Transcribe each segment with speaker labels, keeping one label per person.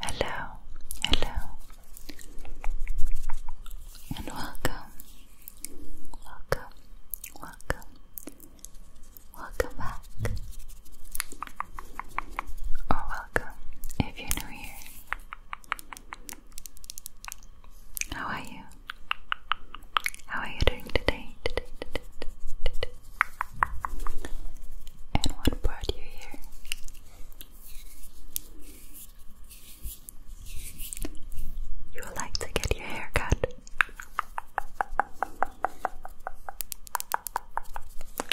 Speaker 1: Hello, hello, and welcome, welcome, welcome, welcome back, or welcome if you're new here. How are you? How are you doing today? And what brought you here? You like to get your hair cut?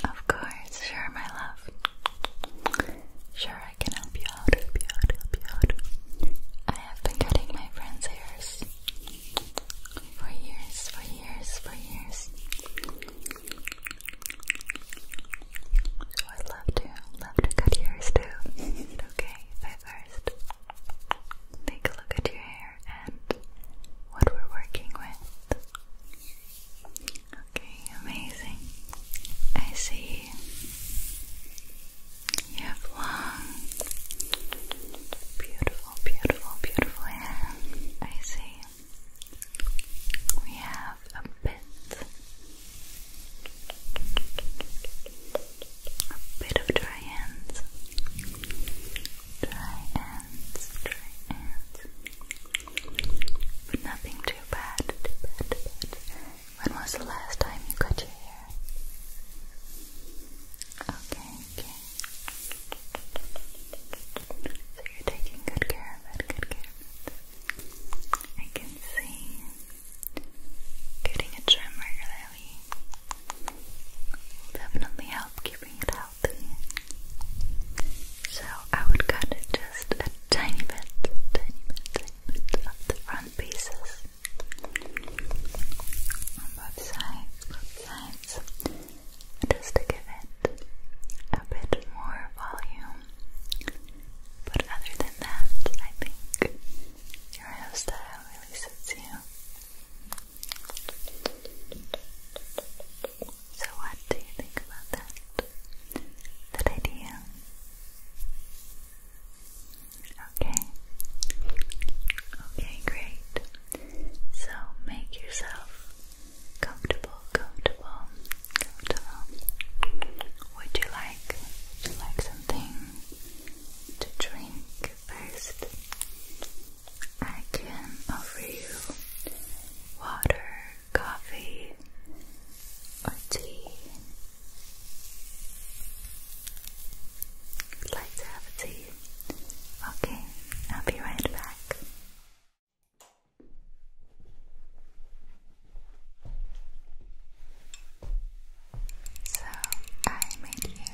Speaker 1: Of course, sure, my love. Sure, I can help you out, help you out, help you out. I have been cutting my friends' hairs for years, for years, for years. So I love to, love to cut yours too. okay first take a look at your hair and what we're working with? Okay, amazing. I see you have long, beautiful, beautiful, beautiful hair. I see. We have a bit, a bit of dry ends, dry ends, dry ends, but nothing too bad. When was the last time you cut your hair? Okay, okay. So you're taking good care of it, good care of it. I can see getting a trim regularly definitely help keeping it healthy. So I would cut it just a tiny bit, tiny bit, tiny bit of the front pieces on both sides, both sides, just to give it a bit more volume. But other than that, I think your hairstyle really suits you. So, what do you think about that? That idea? Okay. Okay, great. So make yourself comfortable, comfortable, comfortable. Would you like would like something to drink first? I can offer you water, coffee, or tea, I'd like to have a tea. Okay, I'll be right back. So I made you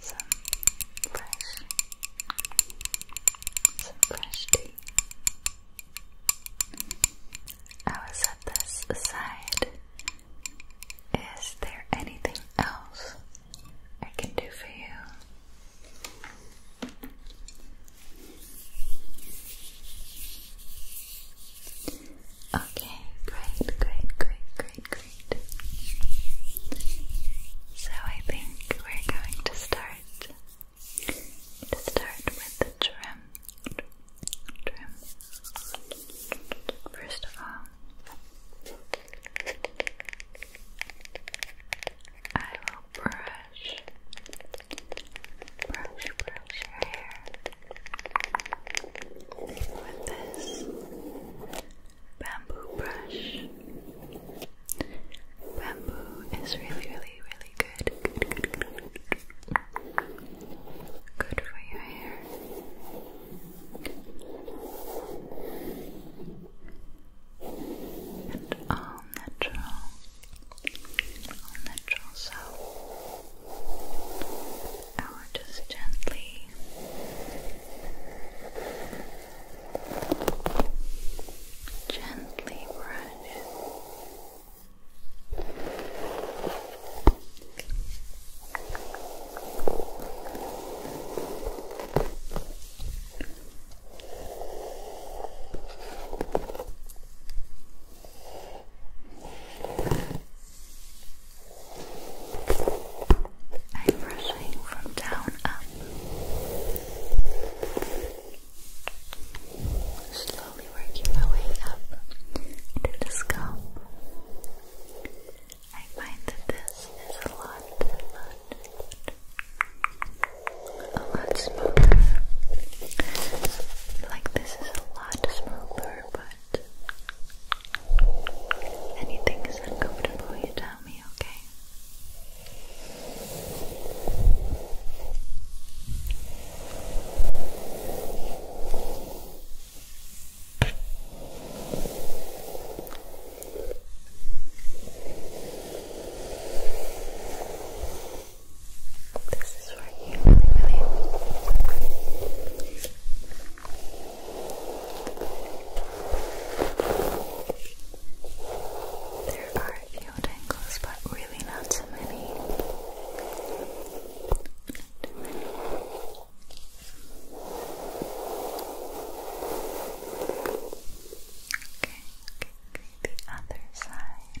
Speaker 1: some fresh, some fresh tea. I will set this aside. Is there anything else I can do for you? Okay, great, great, great, great, great. So I think we're going to start to start with the trim. First of all, I will brush, brush, brush your hair with this bamboo brush. Bamboo is really, really, really Good, good, for your hair. And all natural. All natural, so I will just gently Gently brush I'm brushing from down up. Slowly working my way up into the scalp. I find that this is a lot, a a lot smoother. Like this is a lot smoother, but anything is uncomfortable, you tell me, okay? This is for you, really, really. There are a few tangles, but we really not Too many. Okay, okay, the other side.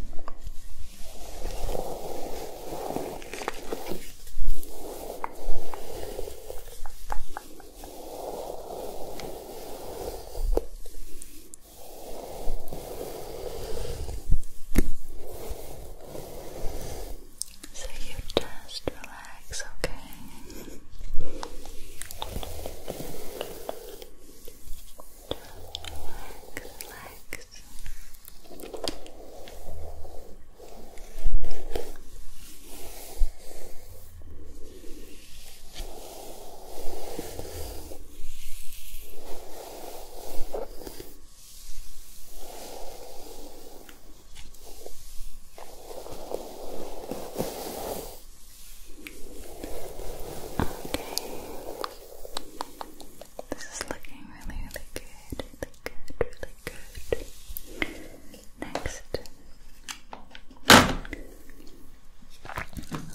Speaker 1: So you just relax, okay? relax, relax. Okay, this is looking really, really good. Really good, really good. Next.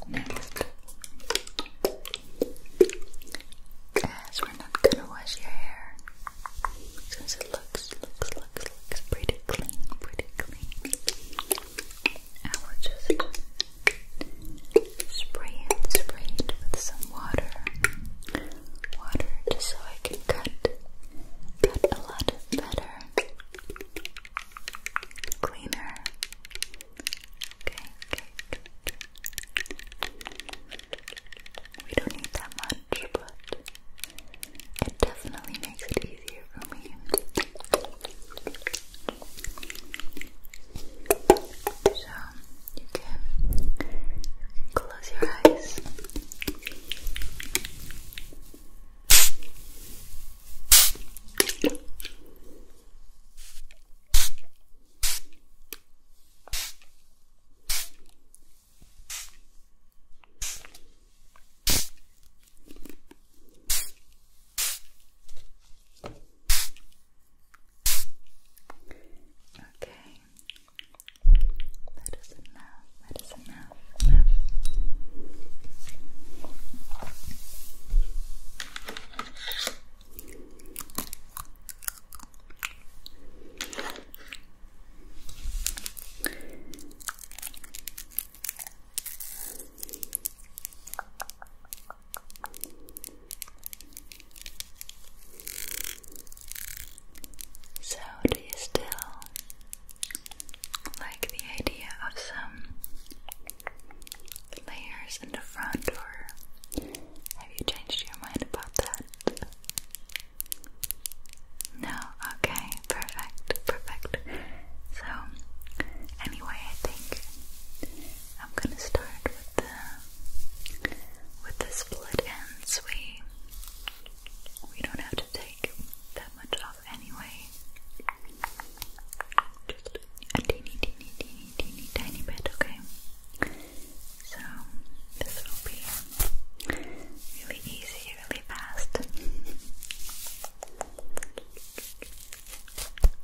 Speaker 1: Next. Guys, we're not gonna wash your hair since it looks, looks, looks, looks pretty clean, pretty clean. I will just spray it, spray with some water. Water just so I can cut, cut a lot better, cleaner. Okay, okay. We don't need that much, but it definitely makes it easier for me. So you can close your eyes. Okay, that is enough, that is enough, enough. So, do you still like the idea of some layers in the front, or have you changed your mind about that? No, okay, perfect, perfect. So, anyway, I think I'm gonna start with the with the split ends. We we don't have to take that much off anyway. Just a teeny, teeny, teeny, teeny, tiny bit. Okay. So this will be really easy, really fast. So I got my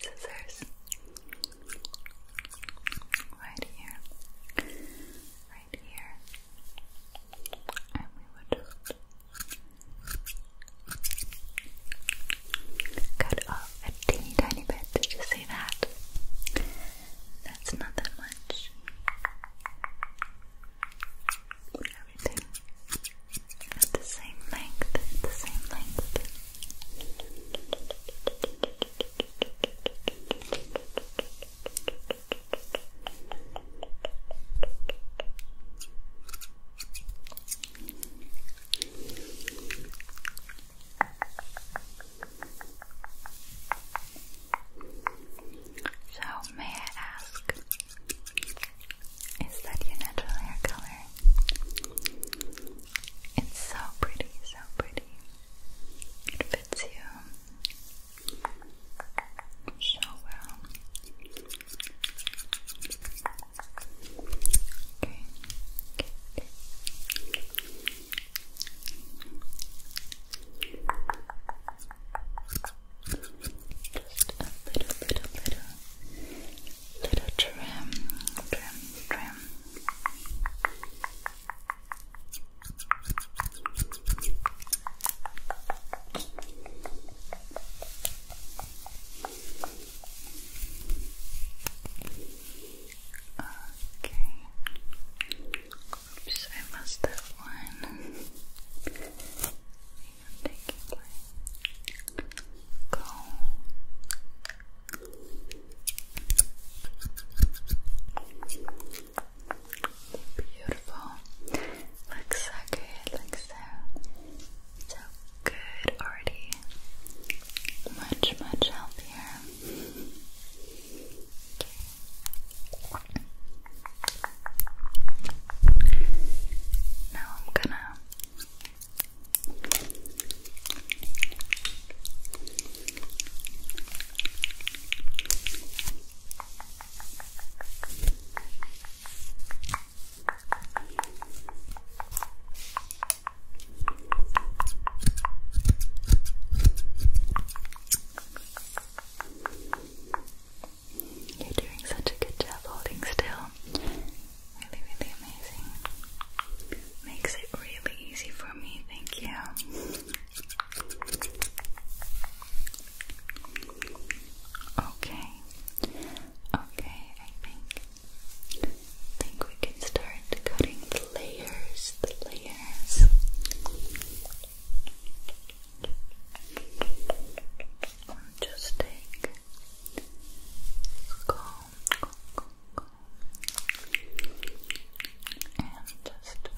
Speaker 1: scissors right here, right here, and we would just
Speaker 2: cut off a teeny tiny bit. Did you see that? That's not that much. Everything at the same length, at the same length. So, may I ask, is that your natural hair color? It's so pretty, so pretty. It fits you so well. Okay. Just a little, little, little, little trim, trim, trim. Okay. Oops, I missed that one. taking my comb. Beautiful. Looks so good. Looks so, so good already. Much, much healthier. Now I'm gonna you're doing such a good job holding still. Really, really amazing. Makes it really easy for me, thank you. Okay. Okay, I think I think we can start cutting layers, layers. just take and just a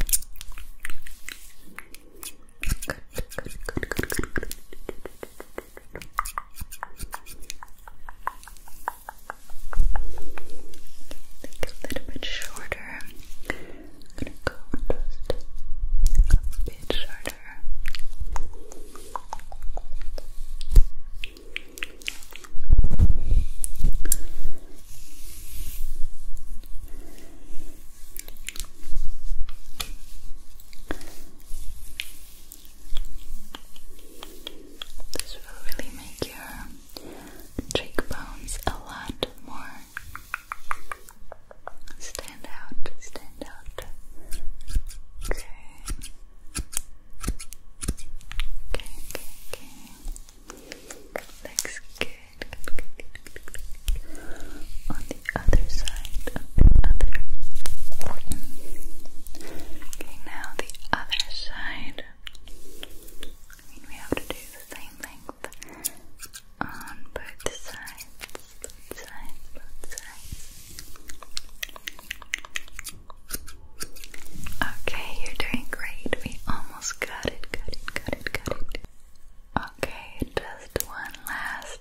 Speaker 2: little bit shorter. I'm gonna go just a bit shorter. This will really make your cheekbones a lot more. Stand out, stand out. Okay. Okay, okay, Looks good. On the other side, on the other. Okay, now the other side we have to do the same length on both sides, sides, sides. Okay, you're doing great. We almost got it, got it, got it, got it. Okay, just one last,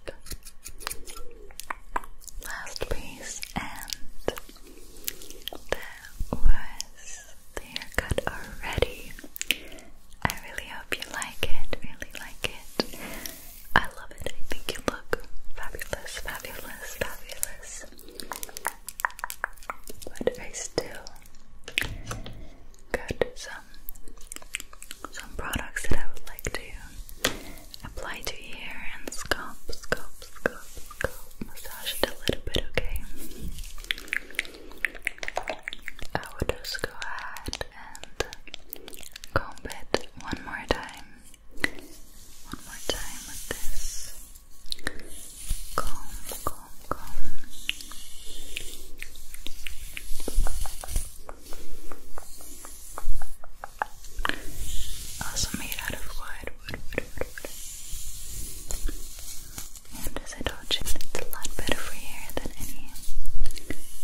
Speaker 2: last piece, and that was the haircut already. I really hope you like it, really like it. I love it. I think you look fabulous, fabulous, fabulous. But I still got some some products that I would like to apply to here and scalp, scalp, scalp, scalp, massage it a little bit, okay? I would just go ahead and comb it one more time. One more time with this comb, comb, comb. Also made out of wood. But as I told it's a lot better for hair than any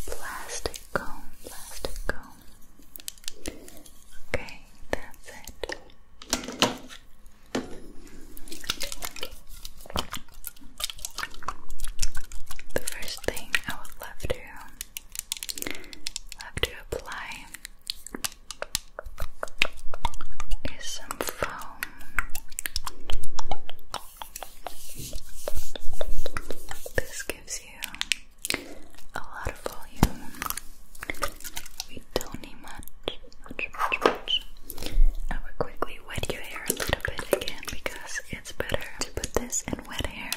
Speaker 2: plastic comb, plastic comb. Okay, that's it. The first thing I would love to love to apply is some foam this gives you a lot of volume. We don't need much, I would quickly wet your hair a little bit again because it's better to put this in wet hair.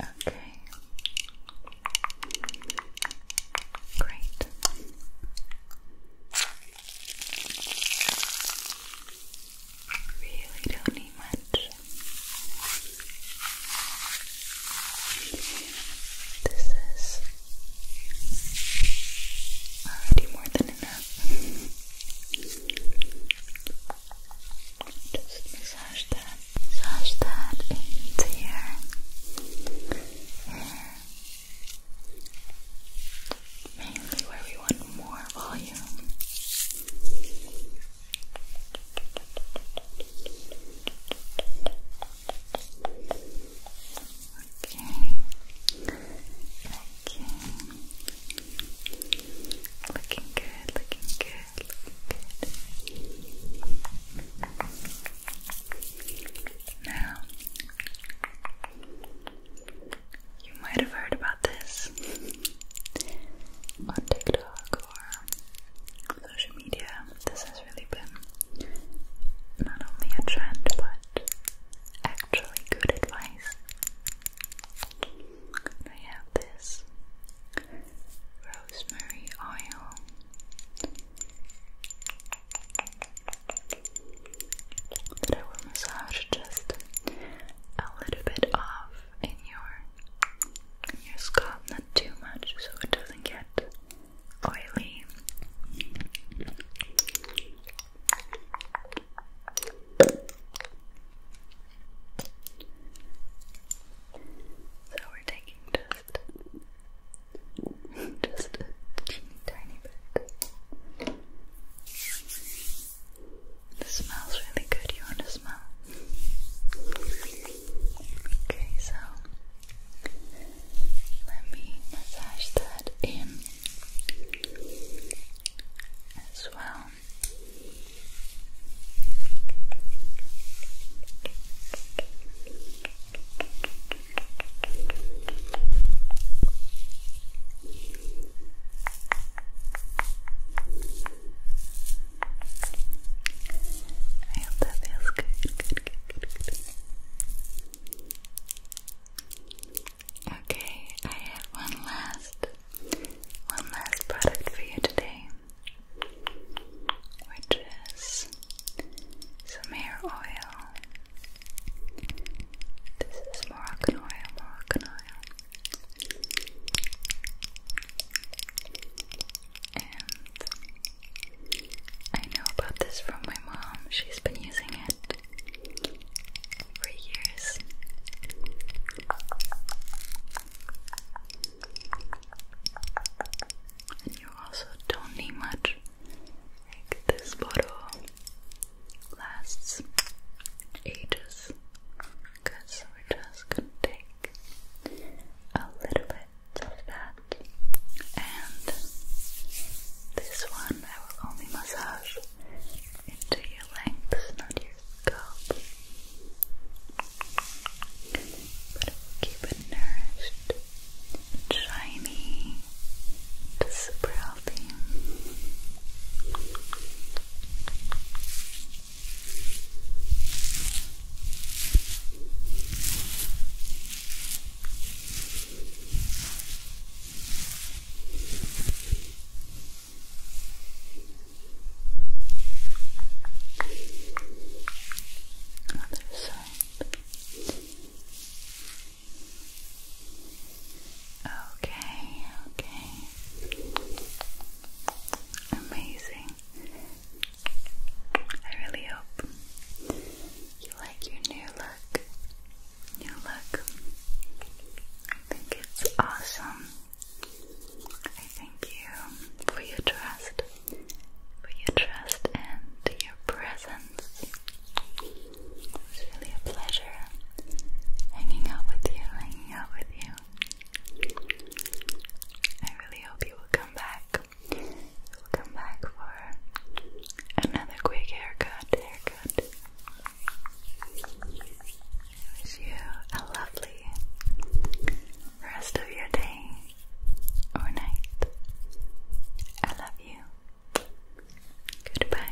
Speaker 2: Okay. Great. Really don't need much. This is already more than enough. Just massage that. Swash that into your hair. Mainly where we want more volume. Okay. Okay. Looking good, looking good, now, you might have heard about this on TikTok or social media. This has really been not only a trend but actually good advice. I have this rosemary oil. That I will massage just a little bit off in your your scalp, not too much, so it doesn't get oily. So we're taking just, just a tiny bit. This smells really good. You want to smell? Okay, so let me massage that in as well. I hope that feels good, Okay, I have one last, one last product for you today which is some hair oil. This is Moroccan oil, Moroccan oil. And I know about this from my mom. She's been using it for years. You also don't need much. Like this bottle lasts ages because we're just gonna take a little bit of that, and this one I will only massage into your legs, not your scalp but it will keep it nourished shiny super healthy.
Speaker 3: Other side. Okay, okay. Amazing. I really hope you like your new look. New look. I think it's awesome. I thank you for your trust for your trust and your presence. It's really a pleasure hanging out with you, hanging out with you. I really hope you will come back. will come back for another quick haircut. Haircut. wish you a lovely rest of your day or night. I love you. Goodbye.